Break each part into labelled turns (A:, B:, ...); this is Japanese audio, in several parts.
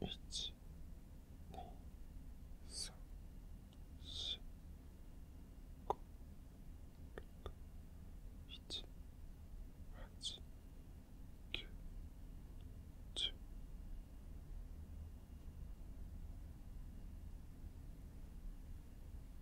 A: 一、二、三、四、五、六、七、八、九、十。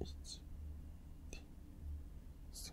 A: 1 2 3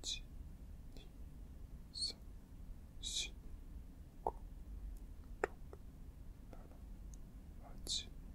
A: 一、2三、四、五、六、七、八。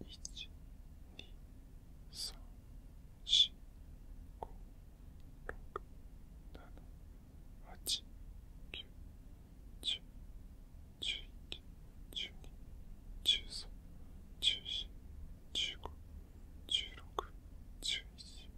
A: 1、2、3、4、5、6、7、8、9、10、11、12一、二、三、四、五、六、七、9 1十、1一、1二、1三、1四、1五、1六、1一。